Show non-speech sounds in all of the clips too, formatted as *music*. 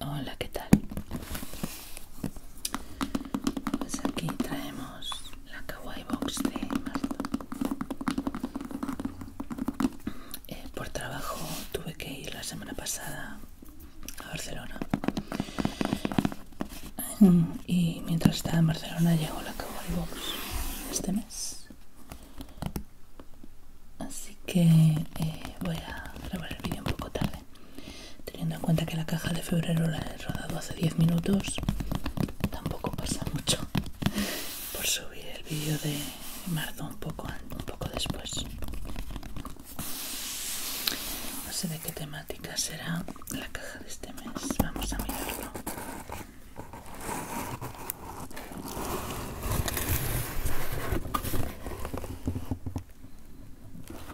Hola, ¿qué tal? Pues aquí traemos la Kawaii Box de Marta. Eh, por trabajo tuve que ir la semana pasada a Barcelona y mientras estaba en Barcelona llegó la de Box este mes así que eh, voy a grabar el vídeo un poco tarde teniendo en cuenta que la caja de febrero la he rodado hace 10 minutos tampoco pasa mucho por subir el vídeo de marzo un poco un poco después no sé de qué temática será la caja de este mes vamos a mirarlo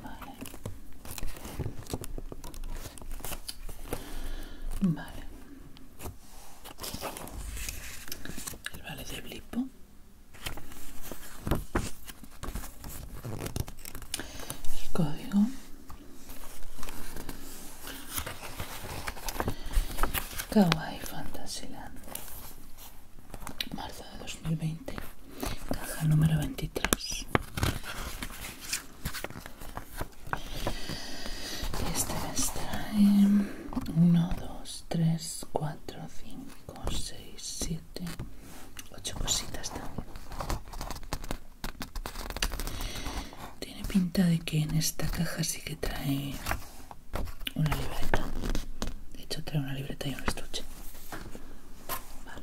vale Vale, el vale de Blipo, el código Kawaii Fantasyland marzo de 2020 caja número 23 este me 1, 2, 3, 4, 5, 6, 7, 8 cositas también. Tiene pinta de que en esta caja sí que trae una libreta. De hecho trae una libreta y un estuche. Vale.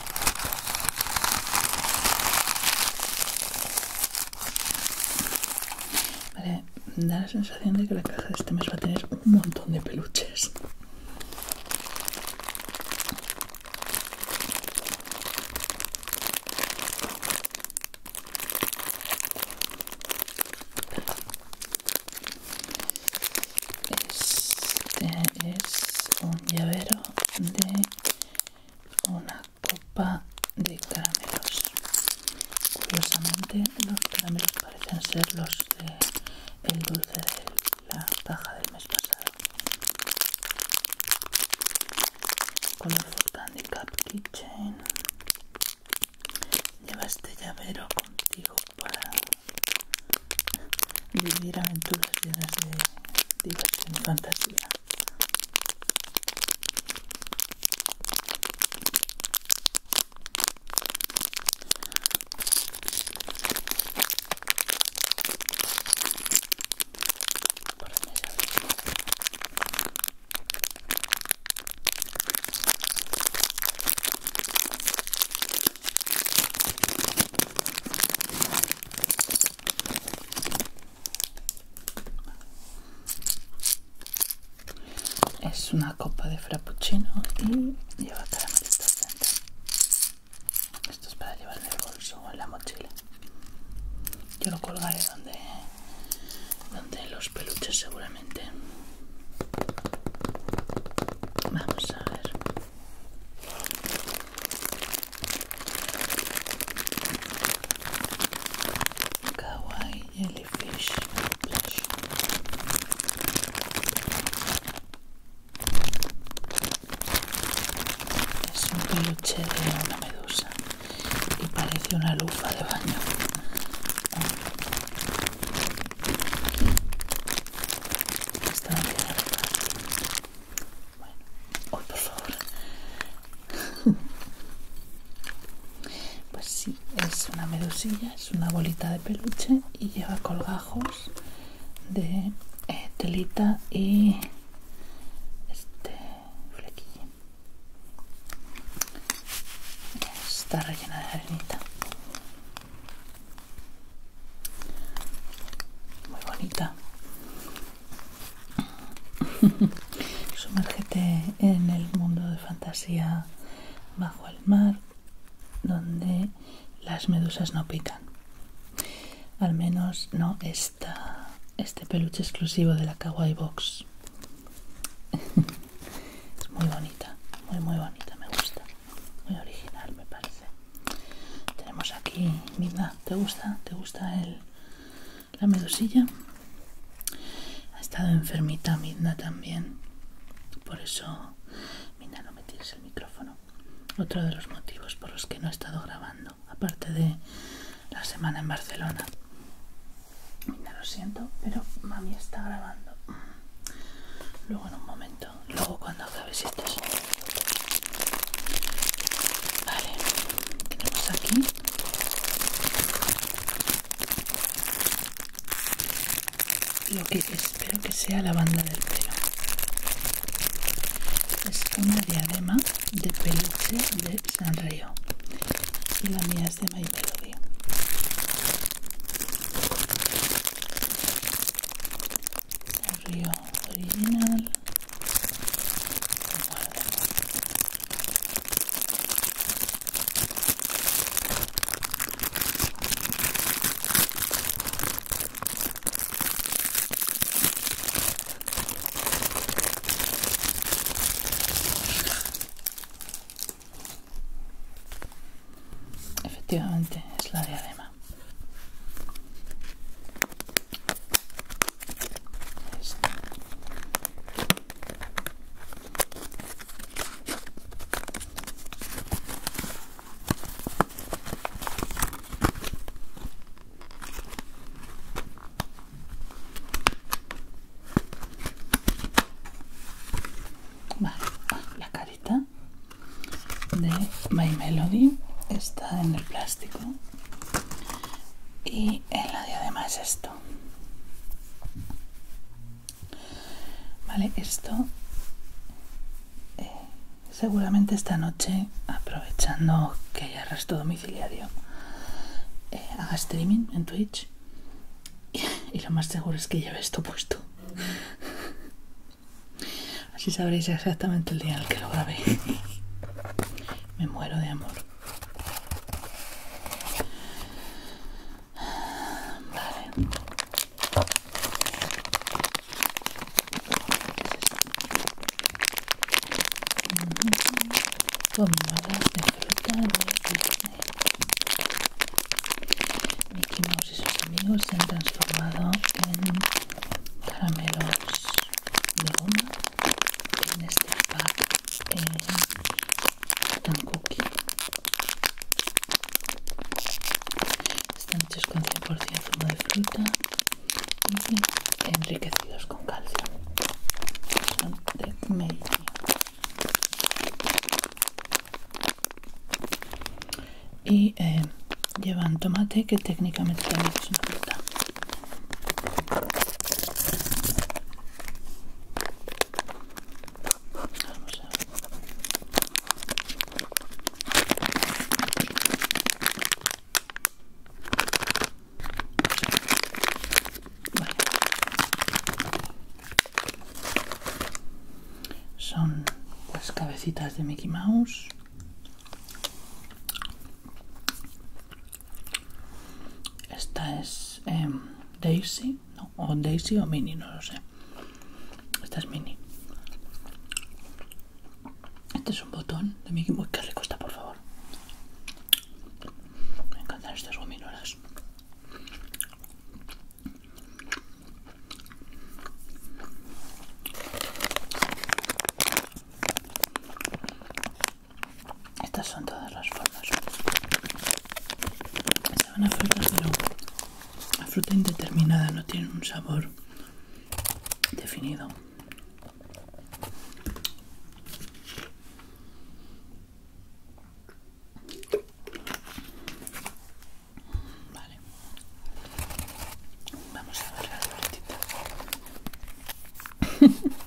Vale, da la sensación de que la caja de este mes va a tener un montón de peluches. Este es un llavero de una copa de caramelos curiosamente los caramelos parecen ser los del dulce de la caja del mes pasado colorful candy cup kitchen lleva este llavero contigo para vivir aventuras llenas de diversión y fantasía. Es una copa de frappuccino y lleva caramelitos dentro. Esto es para llevar en el bolso o en la mochila. Yo lo colgaré donde, donde los peluches seguramente. Vamos a ver. Kawaii Jellyfish es un peluche de una medusa y parece una lufa de baño está bien bueno, hoy por favor. *laughs* Pues sí, es una medusilla, es una bolita de peluche y lleva colgajos de eh, telita y este flequillo. Está rellena de arenita muy bonita *laughs* sumérgete en el mundo de fantasía bajo el mar donde las medusas no pican al menos no esta este peluche exclusivo de la kawaii box *laughs* es muy bonita muy muy bonita me gusta muy original me parece tenemos aquí Midna. ¿te gusta? ¿te gusta el, la medusilla? ha estado enfermita Midna también por eso Midna, no me el micrófono otro de los motivos por los que no he estado grabando aparte de la semana en Barcelona Mirna lo siento pero mami está grabando luego en un momento luego cuando acabes esto. vale tenemos aquí lo que espero que sea la banda del pelo es una diadema de peluche de Sanrio y la mía es de My Melody el río original efectivamente es la diadema Ah, la carita de My Melody está en el plástico y en la diadema es esto vale esto eh, seguramente esta noche aprovechando que ya resto domiciliario eh, haga streaming en Twitch y, *laughs* y lo más seguro es que lleve esto puesto Así sabréis exactamente el día en el que lo grabé. Me muero de amor. Mickey Mouse y sus amigos se han transformado en caramelos de goma en este pack en tan cookie están hechos con 100% zumo de fruta y enriquecidos con calcio son de y eh, llevan tomate que técnicamente también es una fruta Vale son las pues, cabecitas de Mickey Mouse esta es em, Daisy o Daisy o Mini, no lo sé esta es Mini este es un botón de Mickey Mouse, que rico está por favor me encantan estas gominolas estas son todas las formas. la a fruta, pero la fruta indeterminada no tiene un sabor definido. Vale. Vamos a ver la libretita.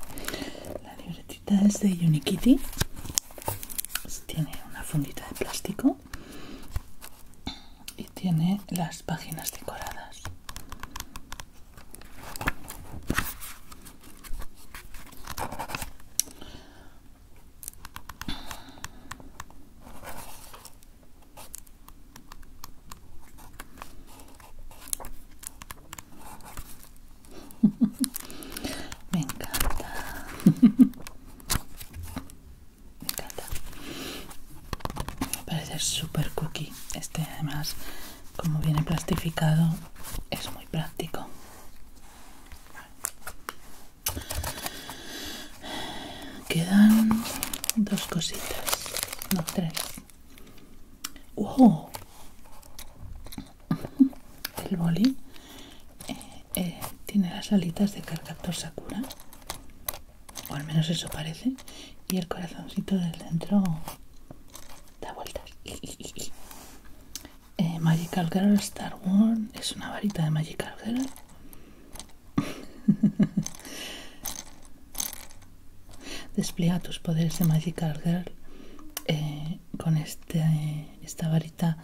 *laughs* la libretita es de Unikitty. Tiene una fundita de plástico y tiene las páginas decoradas. Me encanta. Me encanta. Me parece súper cookie. Este además, como viene plastificado, es muy práctico. Quedan dos cositas, no tres. *laughs* El boli eh, eh, tiene las alitas de cargador Sakura, o al menos eso parece, y el corazoncito del centro da vueltas. Eh, Magical Girl Star Wars es una varita de Magical Girl *laughs* despliega tus poderes de Magical Girl eh, con este, esta varita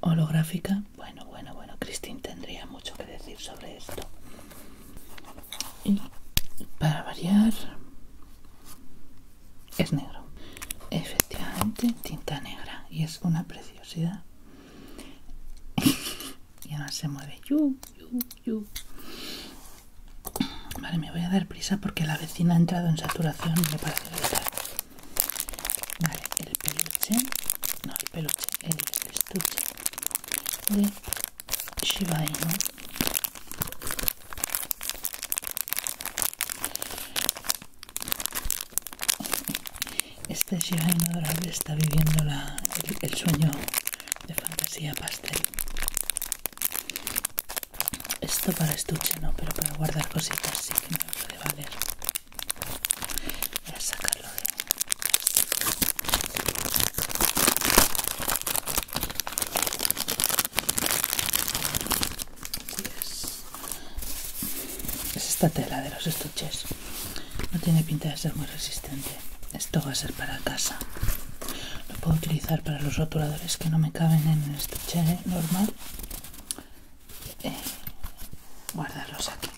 holográfica bueno bueno bueno Christine tendría mucho que decir sobre esto y para variar es negro efectivamente tinta negra y es una preciosa *laughs* y ahora se mueve. Vale, me voy a dar prisa porque la vecina ha entrado en saturación y me parece vital. Vale, el peluche. No, el peluche, el estuche de Shiba Inu. Este Ahora él está viviendo el, sueño de fantasía pastel. Esto para estuche no, pero para guardar cositas sí que me puede valer. Voy a sacarlo de... Es esta tela de los estuches. No tiene pinta de ser muy resistente. Esto va a ser para casa. Lo puedo utilizar para los rotuladores que no me caben en el estuche ¿eh? normal. Eh, guardarlos aquí.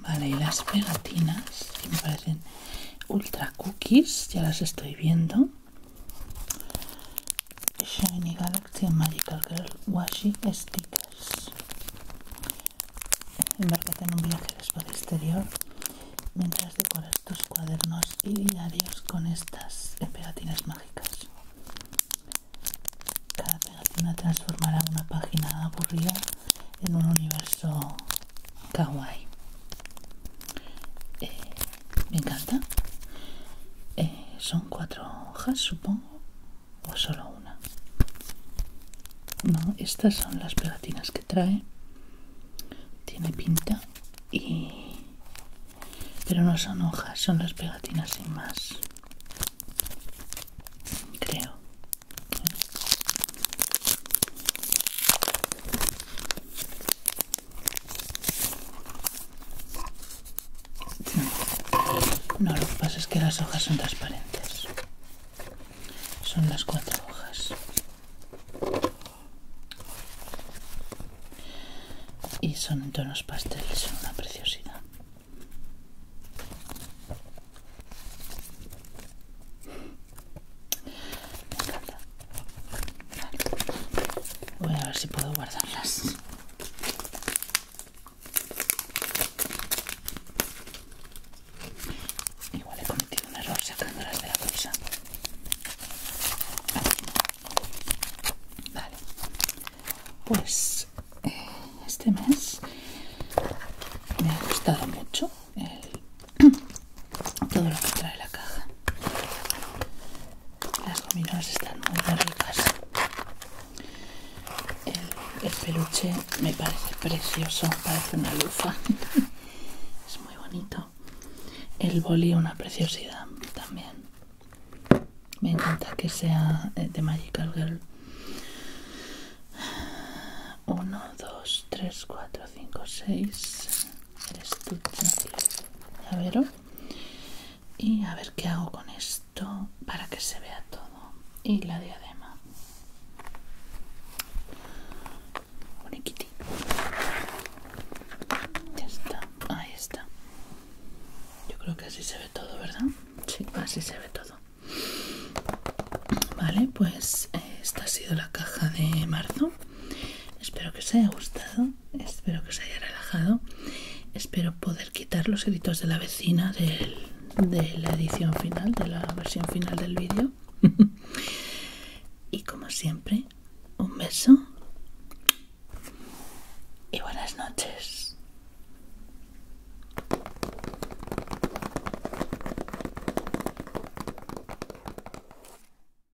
Vale, y las pegatinas que me parecen ultra cookies, ya las estoy viendo. Shiny Galaxy and Magical Girl Washi Stickers. Embarcate en un viaje al espacio exterior mientras decoras tus cuadernos y diarios con estas pegatinas mágicas. Cada pegatina transformará una página aburrida en un universo kawaii. Eh, me encanta. Eh, son cuatro hojas, supongo, o solo una. No, estas son las pegatinas que trae. Tiene pinta y. Pero no son hojas, son las pegatinas sin más. Creo. No, lo que pasa es que las hojas son transparentes. Son las cuatro hojas. Y son en tonos pasteles, son una preciosidad. Voy a ver si puedo guardarlas. Igual he cometido un error sacándolas de la bolsa. Vale. Pues eh, este mes me ha gustado mucho *clears throat* todo lo que trae la caja. Las gominolas están muy, ricas. El, peluche me parece precioso, parece una lufa. *laughs* es muy bonito. El boli una preciosidad también. Me encanta que sea eh, de Magical Girl. 1, dos, 3, cuatro, 5, seis estuche, A verlo. y a ver qué hago con esto para que se vea todo y la diadema ya está ahí está yo creo que así se ve todo verdad sí así se ve todo vale pues eh, esta ha sido la caja de marzo espero que os haya gustado espero que os haya relajado espero poder quitar los gritos de la vecina de la edición final de la versión final del vídeo *laughs* y como siempre un beso y buenas noches